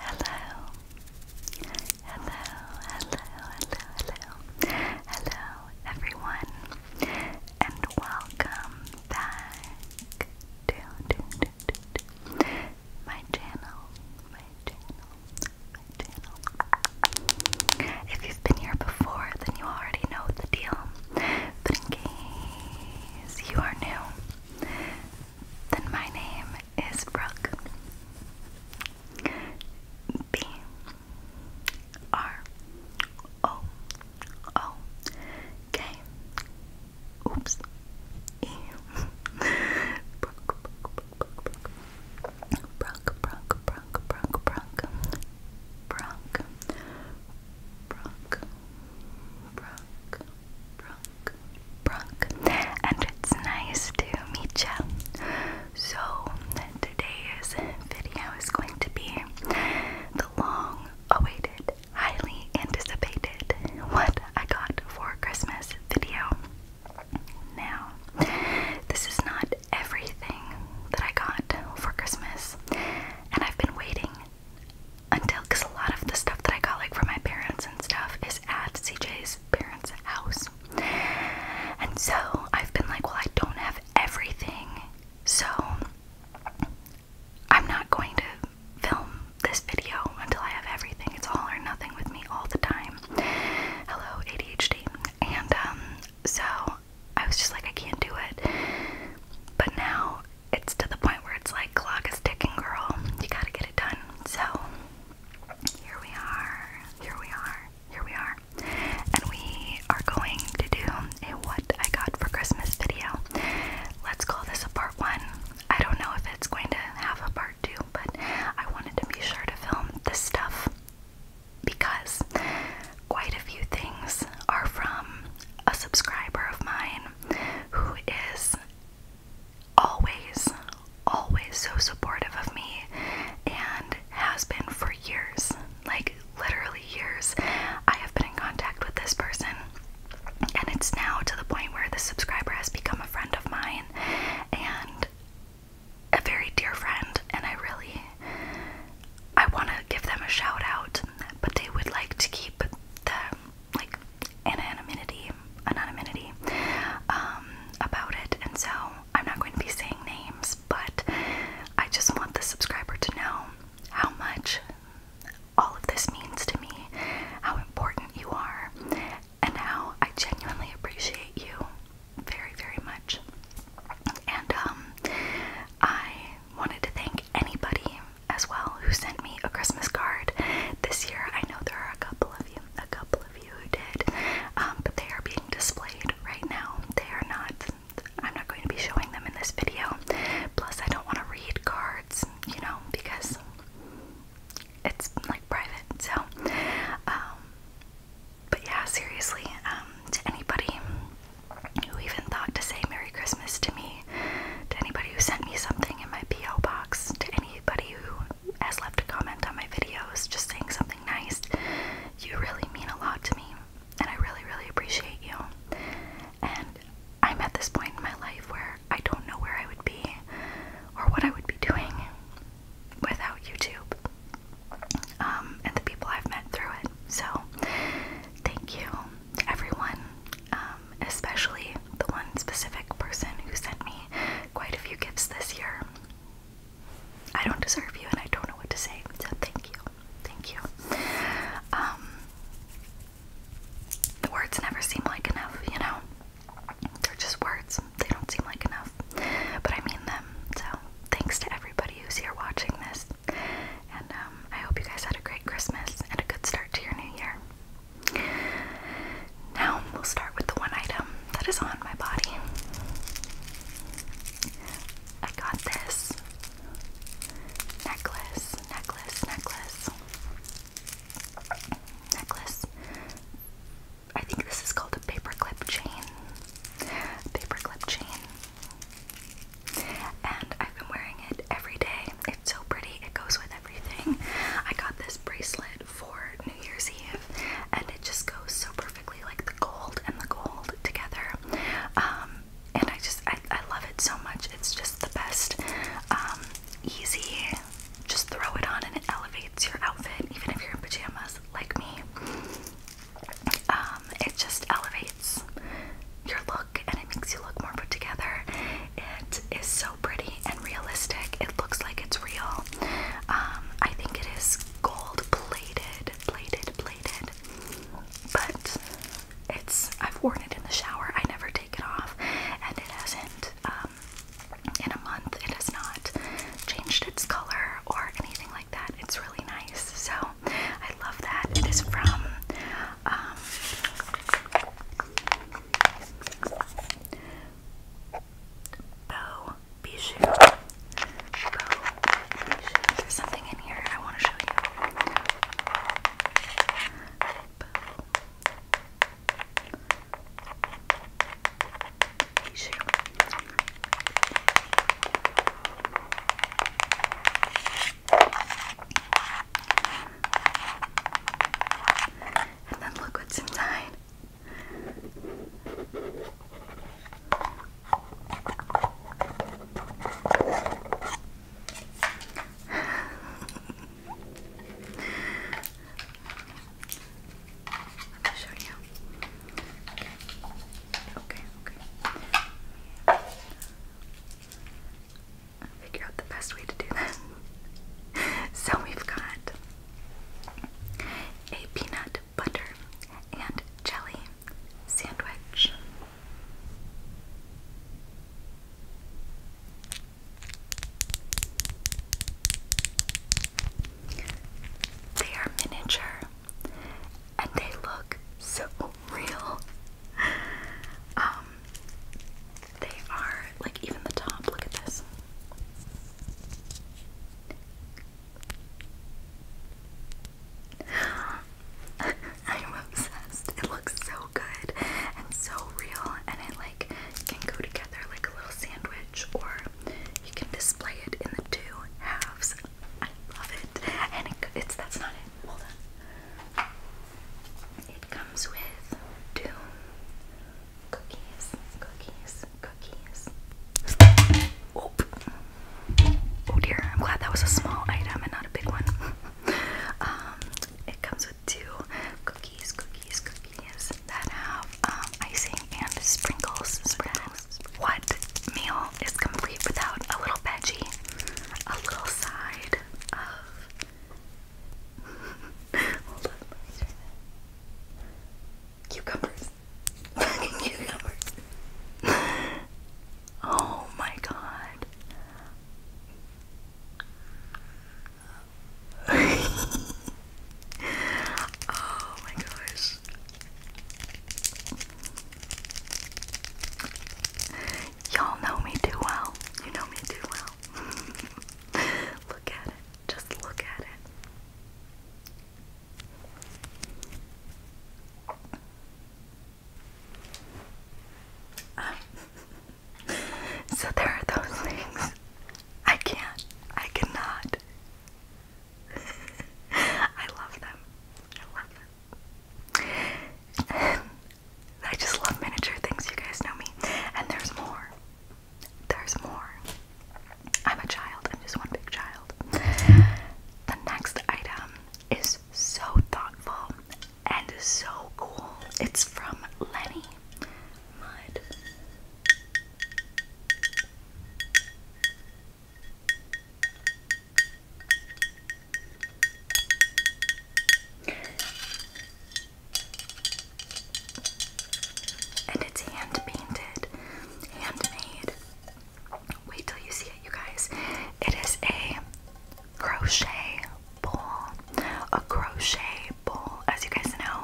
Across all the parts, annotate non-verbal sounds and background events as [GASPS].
Hello. Hello, hello, hello, hello. Hello, everyone. And welcome back to, my channel. My channel. My channel. If you've been here before, then you already know the deal. But in case you are new, then my name is Brooke. B R O O K. Oops. E. Brooke, Brooke, Brooke, Brooke, Brooke, Brooke, Brooke, Brooke, Brooke, Brooke, Brooke, and it's nice to meet you. So, today's video is going to be the long awaited, highly anticipated what I got for Christmas video. Now, this is not everything that I got for Christmas, and I've been waiting until because a lot of the stuff that I got like from my parents and stuff is at CJ's parents' house. And so I've been like, well, I don't have everything, so I'm not going to film this video until I have everything. It's all or nothing with me all the time. Hello, ADHD. And um, so I was just like, I can't do it. But now it's to the point where it's like, clock is ticking, girl. You gotta get it done. So here we are, here we are, here we are. And we are going to do a what I got for Christmas video. Let's call this a part one. I don't know if it's going to have a part two, but I wanted to be sure to film this stuff because quite a few things are from a subscriber of mine who is always, always so supportive of me and has been for years like, literally years. I have been in contact with this person, and it's now to the point where this subscriber has become a friend of mine and a very dear friend, and I really. I want to give them a shout out, but they would like to keep the like anonymity, anonymity um, about it, and so I'm not going to be saying names, but I just want the subscriber to know how much all of this means to me, how important you are, and how I genuinely appreciate you very, very much. And um, I wanted to thank anybody as well who sent me a Christmas card this year. I know there are a couple of a couple of you did, um, but they are being displayed right now. They are not, I'm not going to be showing them in this video. Plus, I don't want to read cards, you know, because it's like private. So, um, but yeah, seriously, um, to anybody who even thought to say Merry Christmas to me, to anybody who sent me something in my P.O. box, to any anybody who has left a comment on my videos just saying something nice. You really mean a lot to me, and I really, really appreciate you. And I'm at this point in my life where I don't know where I would be or what I would be doing without YouTube um, and the people I've met through it. So, thank you, everyone. Um, um, especially the one specific person who sent me quite a few gifts this year. I don't deserve you, and I don't know what to say. So thank you, thank you. Um, the words never seem like enough, you know. They're just words. They don't seem like enough, but I mean them. So thanks to everybody who's here watching this, and um, I hope you guys had a great Christmas and a good start to your new year. Now we'll start with the one item that is on my body. I got this necklace, necklace, necklace, necklace. I think this is called a paperclip chain. Paperclip chain. And I've been wearing it every day. It's so pretty. It goes with I got this bracelet for New Year's Eve, and it just goes so perfectly, like the gold and the gold together. Um, and I just, I, I love it so much. It's just the best. Um, easy. Just throw it on and it elevates your outfit, even if you're in pajamas like me. Um, it just elevates your look and it makes you look more put together. It is so pretty and realistic. It looks like it's real. Um, I think it is gold plated, plated, plated. But it's I've worn it in the shower. I never take it off, and it hasn't. Um, in a month, it has not changed its color or anything like that. It's really nice. So I love that. It is from. Um, Bo Bijou. There's something in here I want to show you. Bo Bijou. And then look what's inside. Let me show you. Okay, okay. figure out the best way to do that. [LAUGHS] so we've got a peanut butter and jelly sandwich. They are miniature and they look so [LAUGHS] real. Um, they are like even the top, look at this. [LAUGHS] I'm obsessed. It looks so good and so real and it like can go together like a little sandwich or you can display it in the two halves. I love it. And it's that's not it. Hold on. It comes with two Cookies, cookies, cookies. Oh. dear, I'm glad that was a small item and not a big one. [LAUGHS] um, it comes with two cookies, cookies, cookies that have um, icing and sprinkles spread. What meal is complete without a little veggie, a little side of Cucumbers. Fucking [LAUGHS] cucumbers. oh my god. [LAUGHS] oh my gosh. Y'all know me too well. You know me too well. [LAUGHS] look at it. Just look at it. [LAUGHS] so there are those things. I can't. I cannot. [LAUGHS] I love them. I love them. I just love miniature things. You guys know me. And there's more. There's more. I'm a child, I'm just one big child. The next item is so thoughtful and so cool. It's from Lenny and it's hand painted, handmade. Wait till you see it, you guys. It is a crochet bowl. A crochet bowl. As you guys know,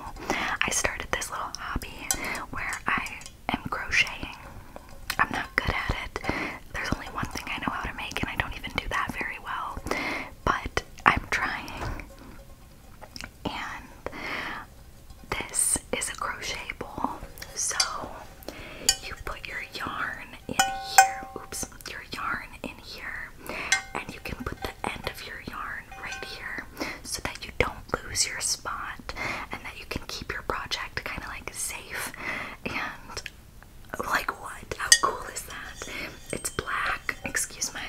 I started this little hobby where I am crocheting. I'm not good at it. There's only one thing I know how to make, and I don't even do that very well. But I'm trying and this is a crochet ball. So you put your yarn in here, oops, your yarn in here, and you can put the end of your yarn right here so that you don't lose your spot and that you can keep your project kind of like safe and like what? How cool is that? It's black. Excuse me.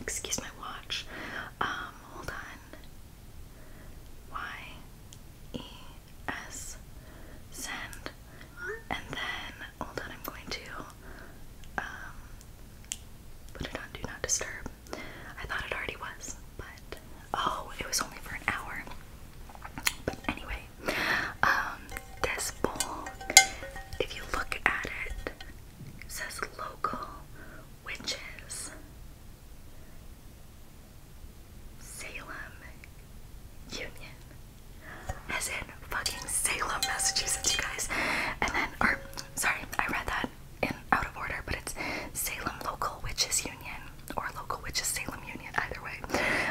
Excuse my watch. Um, hold on. Y E S send. And then hold on, I'm going to um put it on do not disturb. I thought it already was, but oh, it was only for an hour. But anyway, um, um, this bowl, if you look at it, says local witches. Salem Union. As in fucking Salem, Massachusetts, you guys. And then, or sorry, I read that in out of order, but it's Salem Local Witches Union or Local Witches Salem Union, either way.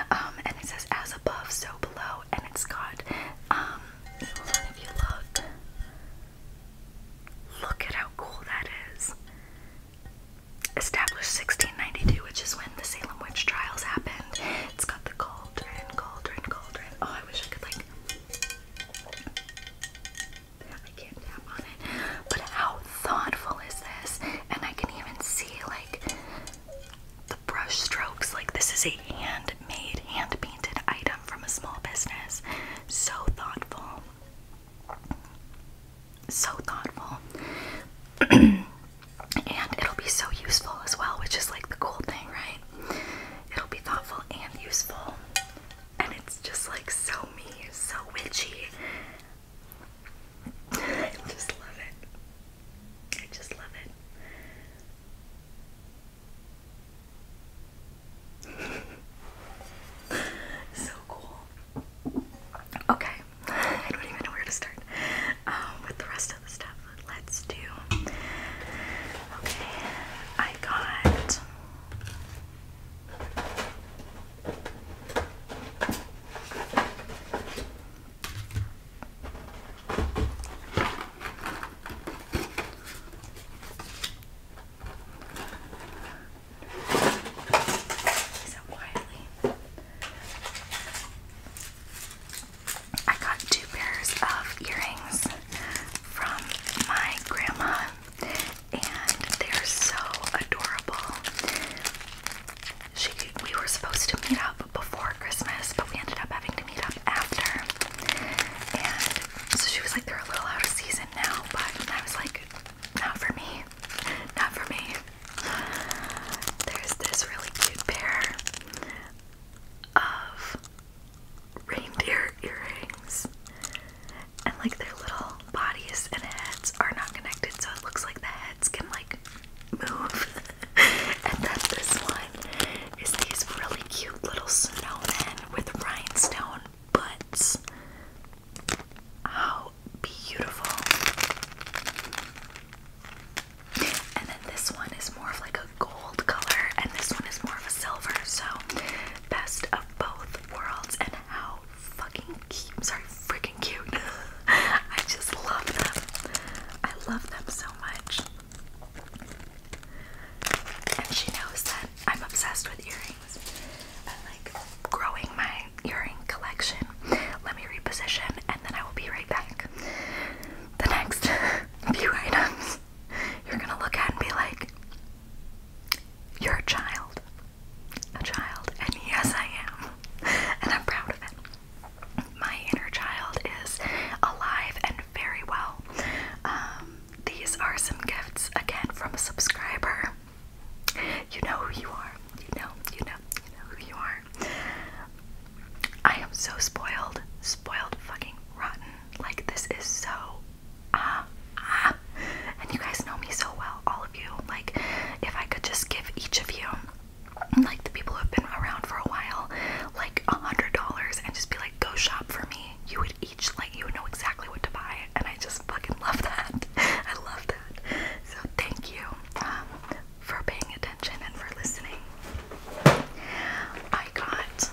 Um, and it says as above, so below, and it's got um, Hold on, if you look. Look at how cool that is. Established 1692, which is when the Salem witch trials happened. It's got the cauldron, cauldron, cauldron. Oh, I wish I could, like. I can't tap on it. But how thoughtful is this? And I can even see, like, the brush strokes. Like this is a handmade, hand painted item from a small business. So thoughtful. So thoughtful. [CLEARS THROAT] and it'll be so useful as well, which is like the cool thing, right? It'll be thoughtful and useful. And it's just like so me, so witchy. [LAUGHS] I just love it. I just love it. [LAUGHS] so cool. Okay, I don't even know where to start um, with the rest of the stuff. Let's do. Okay, I got. I got two pairs of earrings from my grandma, and they're so adorable. She, we were supposed to meet up before Christmas, but we ended up having to meet up after. And so she was like, they're a little out of season now, but I was like, not for me. Not for me. There's this really cute pair of reindeer earrings. And like their little bodies and heads are not connected, so it looks like the heads can like move. [LAUGHS] and then this one is these really cute little snowmen with rhinestone butts. How beautiful. And then this one is more of like a gold color, and this one is more of a silver. So, best of both worlds. And how fucking cute. Sorry, freaking cute. [LAUGHS] I just love them. I love them so much. And she knows that I'm obsessed with earrings. and like growing my earring collection. Let me reposition and then I will be right back. The next [LAUGHS] few items you're gonna look at and be like, You're a child. A child. And yes, I am. And I'm proud of it. My inner child is alive and very well um, these are some gifts again from a subscriber. You know who you are. You know, you know, you know who you are. I am so spoiled, spoiled fucking rotten. Like this is so ah uh, ah. And you guys know me so well, all of you. Like if I could just give each of you, like the people who have been around for a while, like a hundred dollars and just be like go shop for me, you would each let you know exactly what to buy, and I just fucking love that. [LAUGHS] I love that. So thank you um, for paying attention and for listening. I got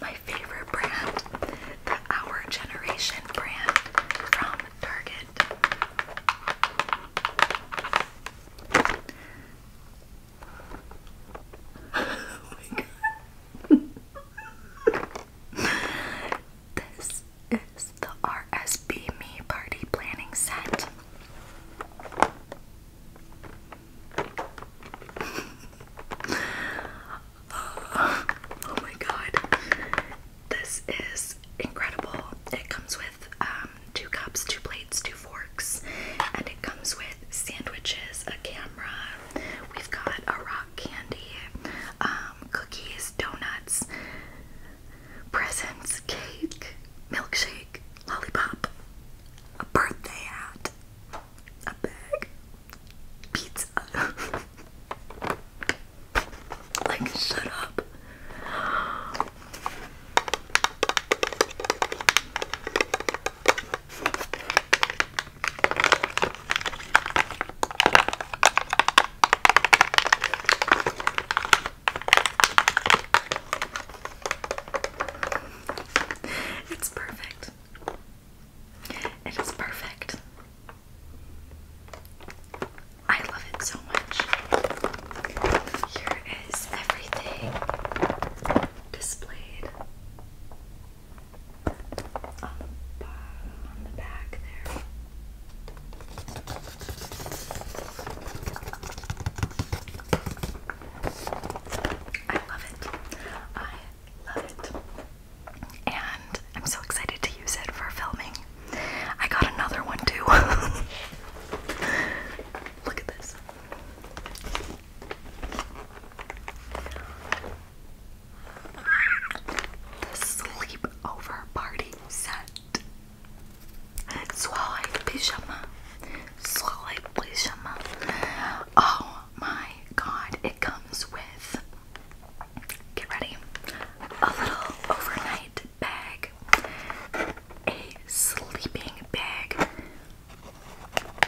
my favorite brand, the Our Generation brand from Target oh my god. this is the RSB Me Party Planning Set. [LAUGHS] oh my god. This is incredible. It comes with um, two cups, two plates, two forks, and it comes with sandwiches, a camera. We've got a rock candy, um, cookies, donuts, presents, cake, milkshake, lollipop, a birthday hat, a bag, pizza. [LAUGHS] like, shut up. It's perfect. It is perfect. I love it so so much. Here is everything displayed on on the back there. I love it. I love it. And I'm so excited to use it for filming. I got another one too. [LAUGHS] Look at this. The sleepover party set. Swallow pyjama. Swallow pyjama. Oh my god, it comes with. Get ready. A little overnight bag, a sleeping bag,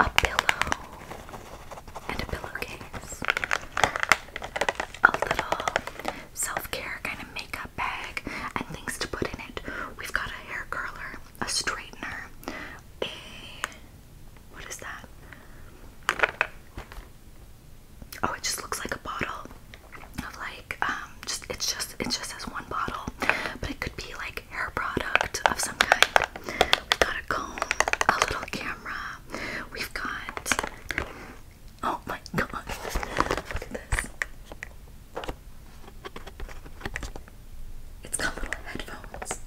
a pillow, and a pillowcase, a little self care kind of makeup bag, and things to put in it. We've got a hair curler, a straightener, a what is that? Oh, it just looks like a bottle of like um, just it's just it just says one bottle but it could be like hair product of some kind we got a comb a little camera we've got oh my god look at this it's got headphones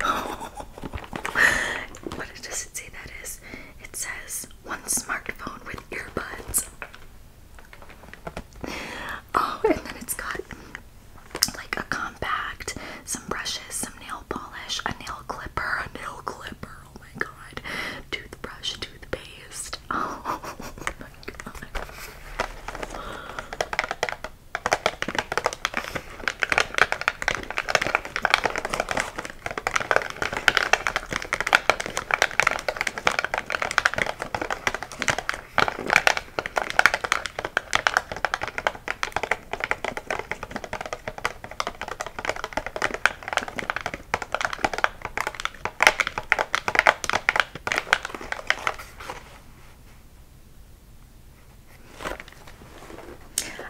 [LAUGHS] what does it say that is it says one smartphone with earbuds [LAUGHS] Oh, and then it's got like a compact, some brushes, some nail polish, a nail clipper, a nail clipper. Oh my god. Toothbrush, toothpaste. [LAUGHS] Oh my god.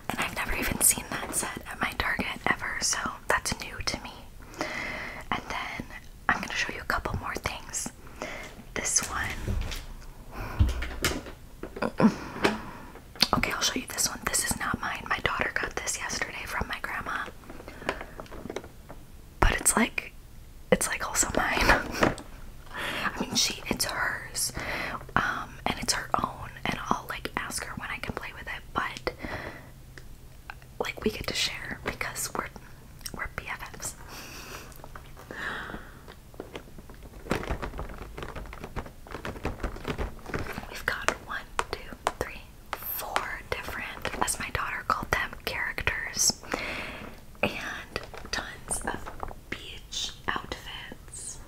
And I've never even seen that set at my Target ever, so that's new to me. And then I'm going to show you a couple more things. This one. Okay, I'll show you this one. This is not mine. My daughter got this yesterday from my grandma. But it's like it's like also mine. [LAUGHS] I mean, she it's hers. Um and it's her own and I'll like ask her when I can play with it, but like we get to share because we're we're BFFs. We've got one, two, three, four different, as my daughter called them, characters, and tons of beach outfits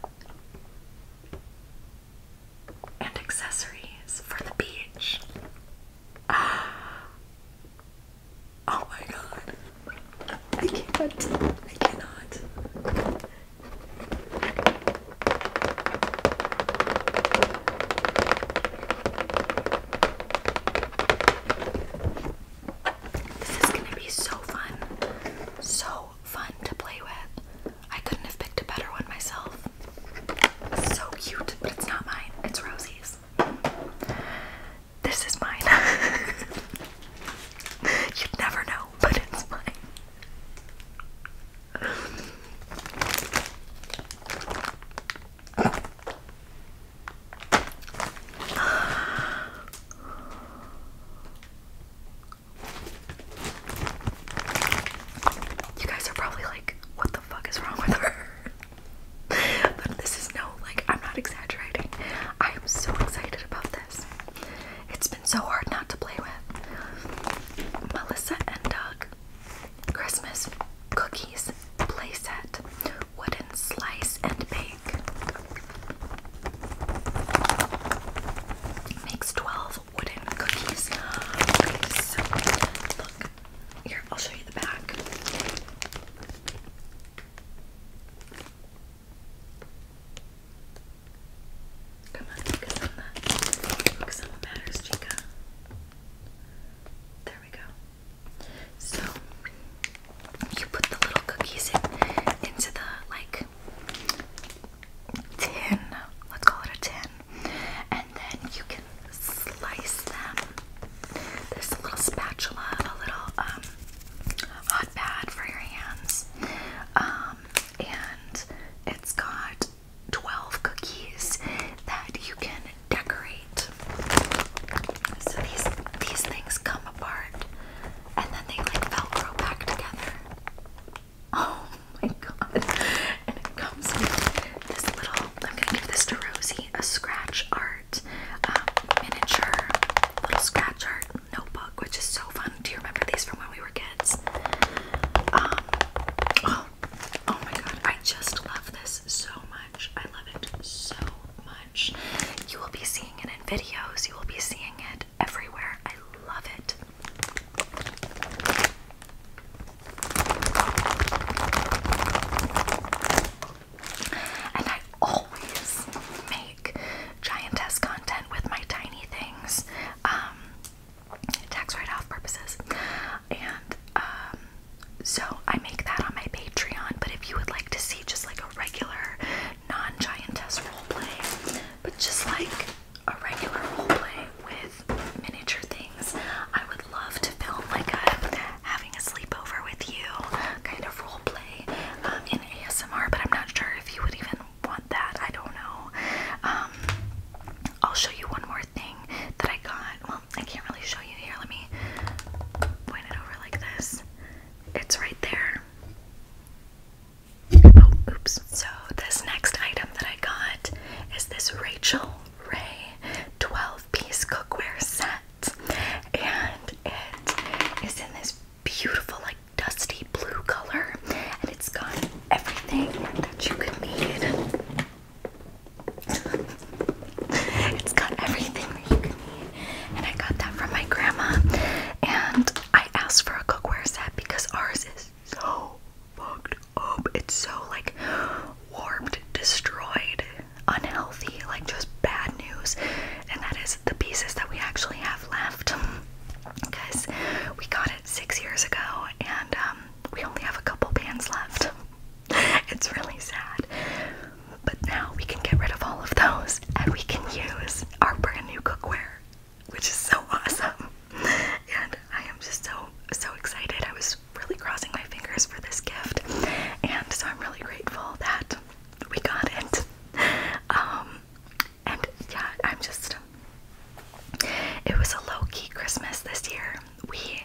and accessories for the beach. [GASPS] Oh my god. I can I cannot. This is going to be so fun. So fun to play with. I couldn't have picked a better one myself. So cute, but it's not mine. It's Rosie's this. is mine. [LAUGHS] You'd never know, but it's mine. You guys are probably like, what the fuck is wrong with her? [LAUGHS] [LAUGHS] but this is no, like, I'm not exaggerating. I am so excited about this. It's been so hard not to play with. Melissa and Doug. Christmas cookies playset. Wooden slice and bake. Makes 12 wooden cookies. Here, I'll show you the back. Come on, focus on that. Focus on what matters, Chica. There we go. So you put the little cookies into the like tin. Let's call it a tin. And then you can slice them. There's a little spatula, a little um, hot pad for your hands, um, and it's got 12 cookies that you can decorate. So these these things come apart, and then they like velcro back together. [LAUGHS] Oh my god! And it comes with this little. I'm gonna give this to Rosie a scratch art um, miniature little scratch art notebook, which is so fun. Do you remember these from when we were kids? Um, oh, oh my god, I just love this so much. I love it so much. You will be seeing it in videos, you will be seeing it everywhere. I love it. And I always make giantess content with my tiny things, um, tax write off purposes. And um, so I make that on my Patreon. But if you would like to see just like a regular non giantess roleplay, but just like a regular roleplay with miniature things, I would love to film like a having a sleepover with you kind of role um, in ASMR, but I'm not sure if you would even want that. I don't know. Um, I'll show you one more thing that I got. Well, I can't really show you here. Let me point it over like this. It's right there. Oh, oops. So, this next item that I got is this Rachel Ray 12 piece cookware set, and it is in this beautiful, like dusty blue color, and it's got everything that you could need. [LAUGHS] it's got everything you could need, and I got that from my grandma. And I asked for a cookware set because ours is so fucked up. It's so like warped, destroyed unhealthy, like just bad news, and that is the pieces that we actually have left. Because [LAUGHS] we got it six years ago, and um, we only have a couple pans left. [LAUGHS] it's really sad. But now we can get rid of all of those, and we can use our brand new cookware, which is so [LAUGHS] awesome. And I am just so so excited. I was really crossing my fingers for this gift, and so I'm really grateful that we got it. [LAUGHS] Um, and yeah, I'm just. It was a low key Christmas this year. We,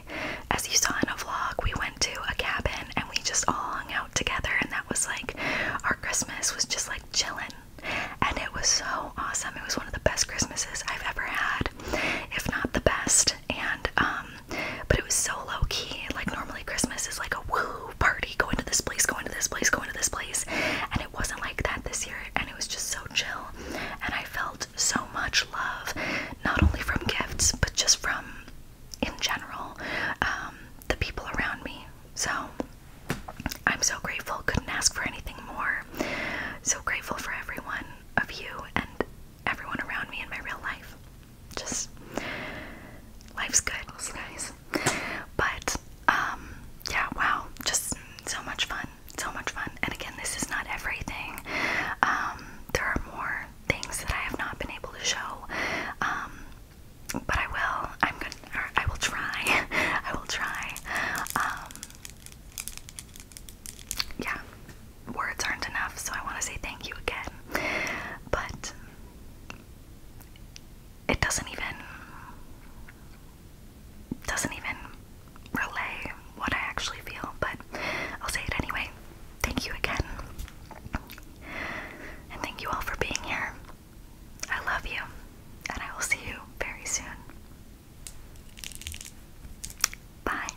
as you saw in a vlog, we went to a cabin and we just all hung out together, and that was like our Christmas was just like chilling. And it was so awesome. It was one of the best Christmases I've ever had, if not the best. And um, but it was so low key. Like normally Christmas is like a woo party, going to this place, going to this place, going to this place, and it wasn't like that this year. And it was just so chill, and I felt so much love, not only from gifts but just from in general um, the people around me. So I'm so grateful. Couldn't ask for anything more. So grateful for everyone of you and everyone around me in my real life just life's good, guys. But um, yeah, wow, just so much fun, so much fun. And again, this is not everything. Um, there are more things that I have not been able to show. Um, but I will. I'm gonna. I will try. [LAUGHS] I will try. yeah words aren't enough, so I want to say thank you again. But it doesn't even doesn't even relay what I actually feel, but I'll say it anyway. Thank you again. And thank you all for being here. I love you, and I will see you very soon. Bye.